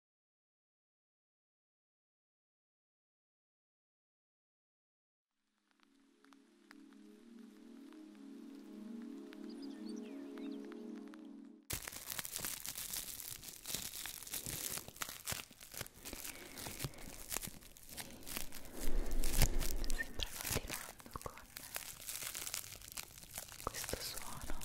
Sempre continuando con questo suono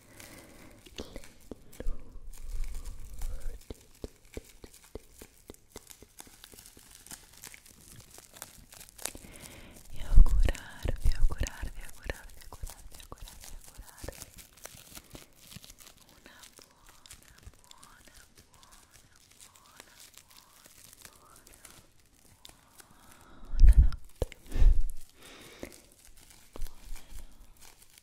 e augurarvi, augurarvi, augurarvi, augurarvi, augurarvi, augurarvi una buona, buona, buona, buona, buona, buona, buona notte buonanotte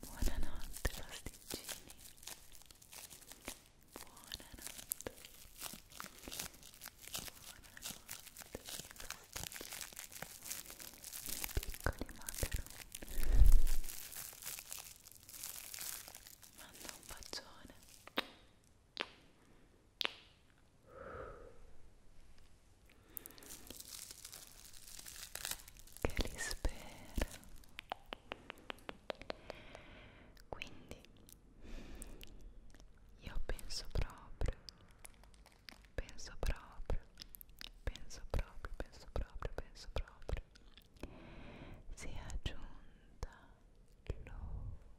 Buonanotte pasticcini Buonanotte Buonanotte piccoli macaroni Manda un bacione che li spera quindi io penso proprio penso proprio penso proprio penso proprio penso proprio sia giunta l'ora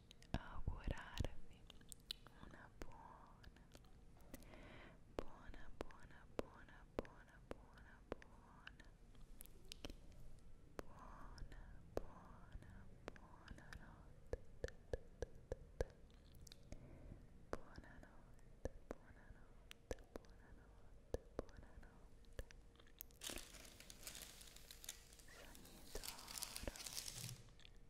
augurarvi una buona buona buona buona buona buona buona buona buona notte buona notte buona notte buona notte Sogni d'oro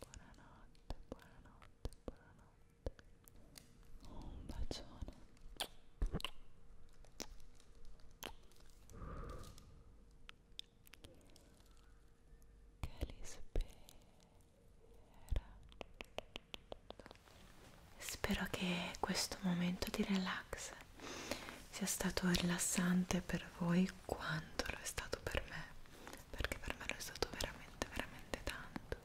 Buonanotte, buonanotte, buonanotte. Un bacione. Che li spera. Spero che questo momento di relax sia stato rilassante per voi quanto lo è stato per me perché per me lo è stato veramente veramente tanto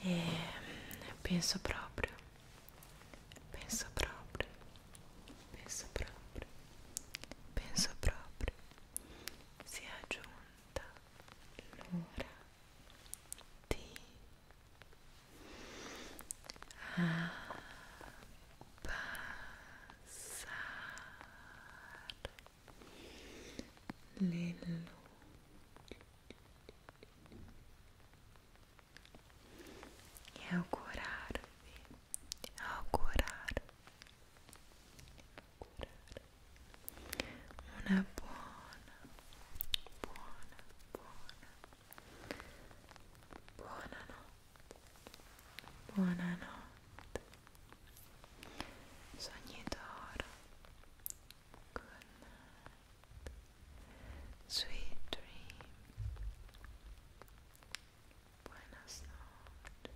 e mm, penso proprio penso proprio penso proprio penso proprio sia giunta l'ora di abbassare Lello e augurarvi, augurarvi, augurarvi una buona, buona, buona, buona notte, buona notte, Sogni d'oro. Good night. Sweet dream. Buenas noches.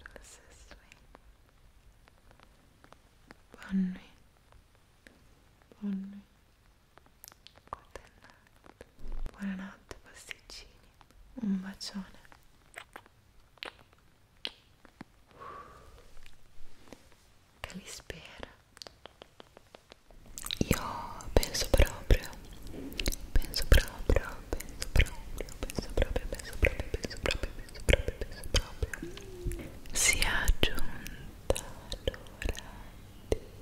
Dulces sueños. Bonne Good night. Buonanotte pasticcini. Un bacione. che li spera io penso proprio penso proprio penso proprio penso proprio penso proprio penso proprio penso proprio penso proprio si è giunta l'ora di abbassare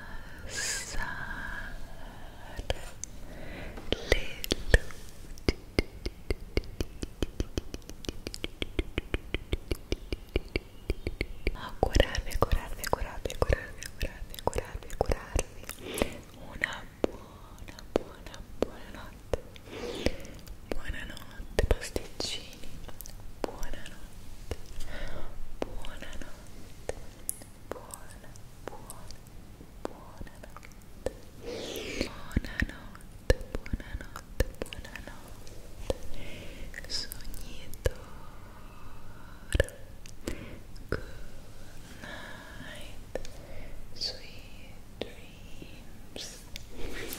abbassare le luci augurarvi, augurarvi, augurarvi, augurarvi, augurarvi, augurarvi, augurarvi una buona, buona, buona notte buonanotte pasticcini bambini buonanotte buonanotte buona buona buonanotte buonanotte buonanotte buonanotte sognitore good night sweet dreams buenas noches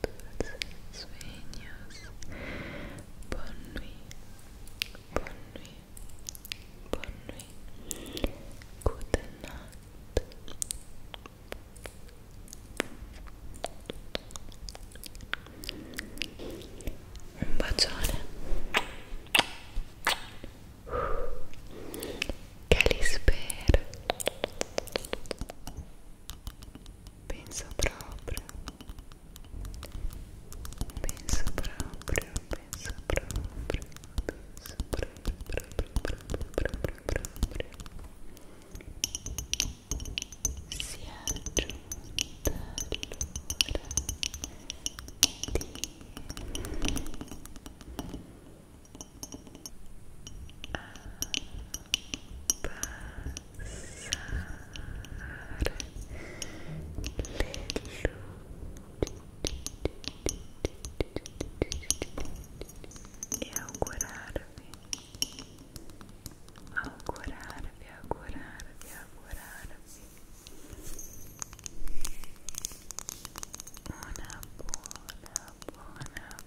tus sueños. Bonne nuit, bonne nuit, bonne nuit. Good night. Un bacione. Calisper. Penso proprio. Penso proprio, penso proprio, penso proprio, proprio, proprio, proprio, proprio. Si è giunta l'ora di e augurarvi augurarvi augurarvi una buona buona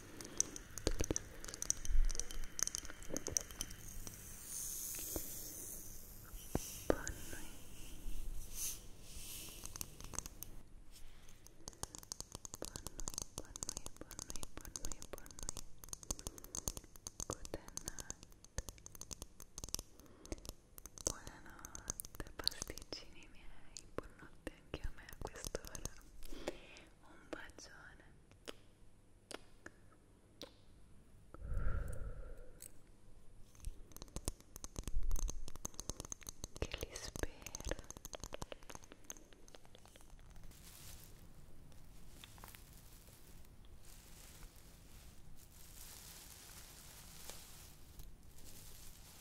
Buonanotte. Buonanotte pasticcini miei, buonanotte anche a me a quest'ora un bacione che li spero Penso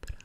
proprio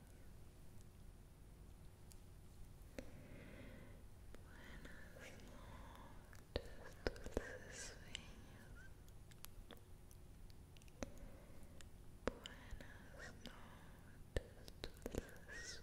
Buenas noches dulces sueños. Buenas noches, dulces sueños. Bueno. noches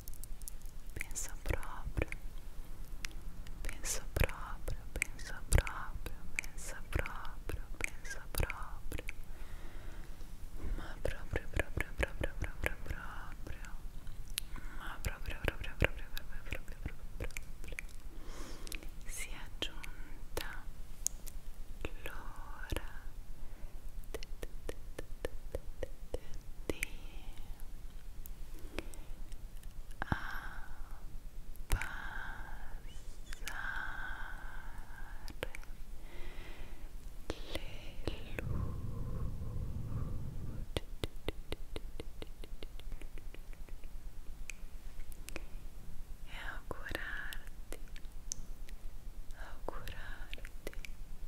pensa proprio, pensa proprio, pensa proprio, pensa proprio, pensa proprio, ma proprio, proprio, proprio, proprio, proprio, ma proprio, proprio, proprio, proprio, proprio, proprio, si è giunta l'ora di augurarti augurarti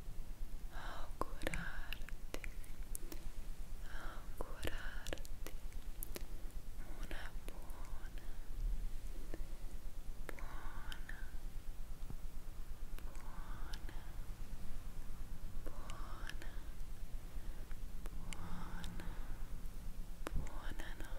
augurarti, augurarti una buona, buona, buona, buona, buona, buona notte.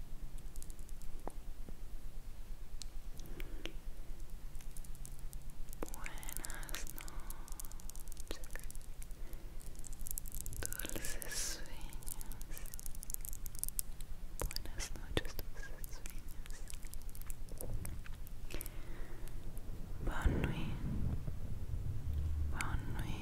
Buenas noches, dulces sueños. Buenas noches, dulces sueños. Bonne nuit, bonne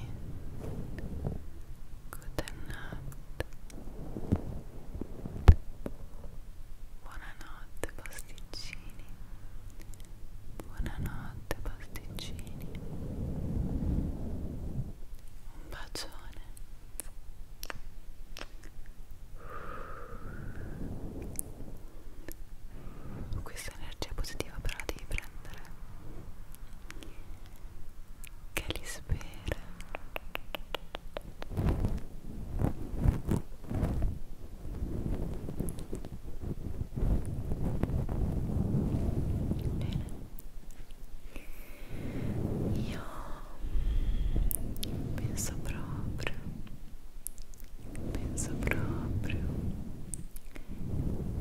Buonanotte Buonanotte pasticcini Buonanotte pasticcini Un bacione questa energia positiva però la devi prendere che li spera bene io penso proprio penso proprio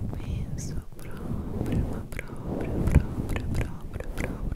penso proprio ma proprio proprio proprio proprio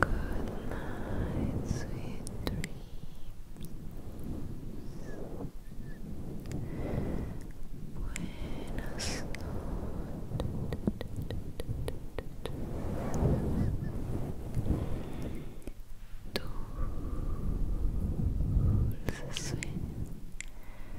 Good night, sweet dreams. Buenas noches. Dulce sueño.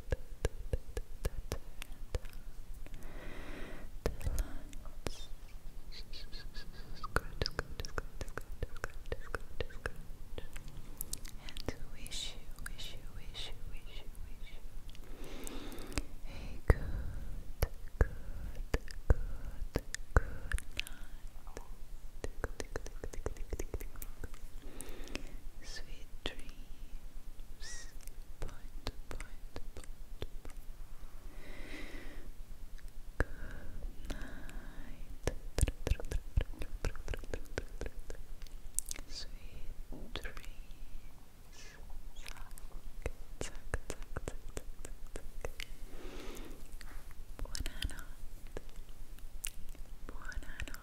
And wish you, wish you, wish you, wish you, wish you a good, good, good, good night. Sweet dreams dreams. Point, point, point, point. Good night. Sweet dreams. Zack, zack, zack, zack, zack, zack. Buonanotte. Buonanotte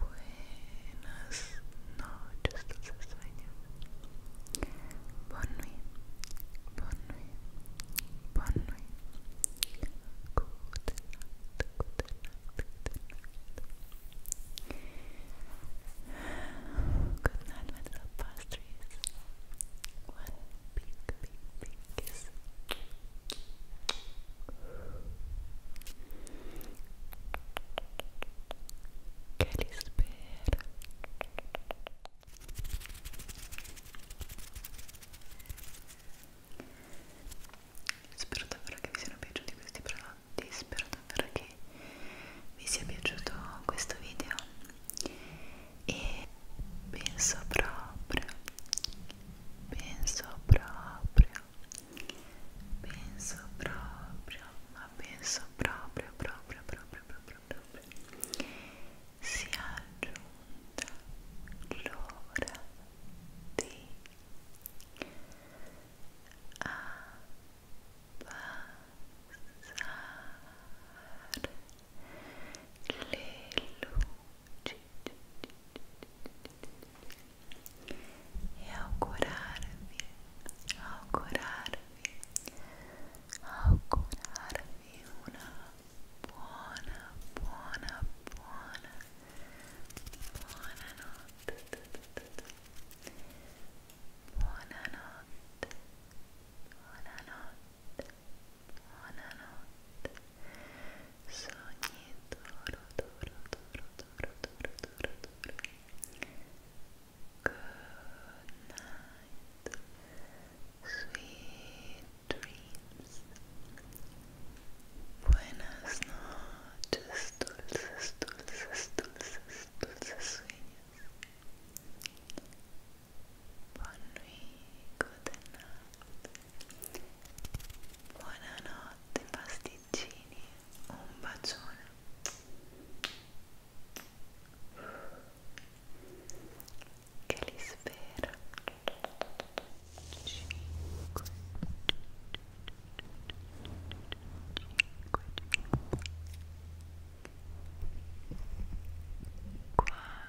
Buenas noches, dulces sueños. Bonne nuit, bonne nuit, bonne nuit. Good night, good night, good night. Good night, little pastries. One big, big, kiss. Che li spera. Spero davvero che vi siano piaciuti questi prodotti, spero davvero che vi sia piaciuto questo video e penso proprio penso proprio penso proprio ma penso proprio proprio proprio proprio proprio si è aggiunta l'ora di abbassare le luci e augurarvi, augurarvi, augurarvi una buona, buona, buona, buonanotte sogni good night sweet dreams buenas noches dulces dulces dulces dulces sueños Bonne nuit, good night. Buonanotte pasticcini, un bacione. Che li spera. 5 5 4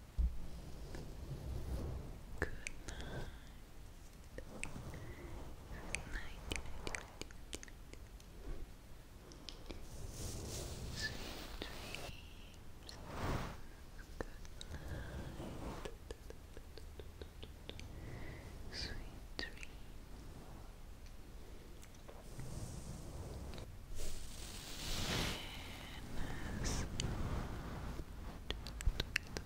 Good night. Good night. Sweet dreams. Good night. Sweet dreams. Venus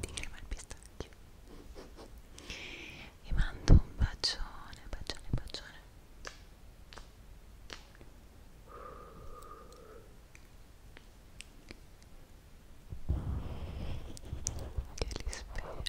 di crema al pistacchio vi mando un bacione bacione bacione che li spero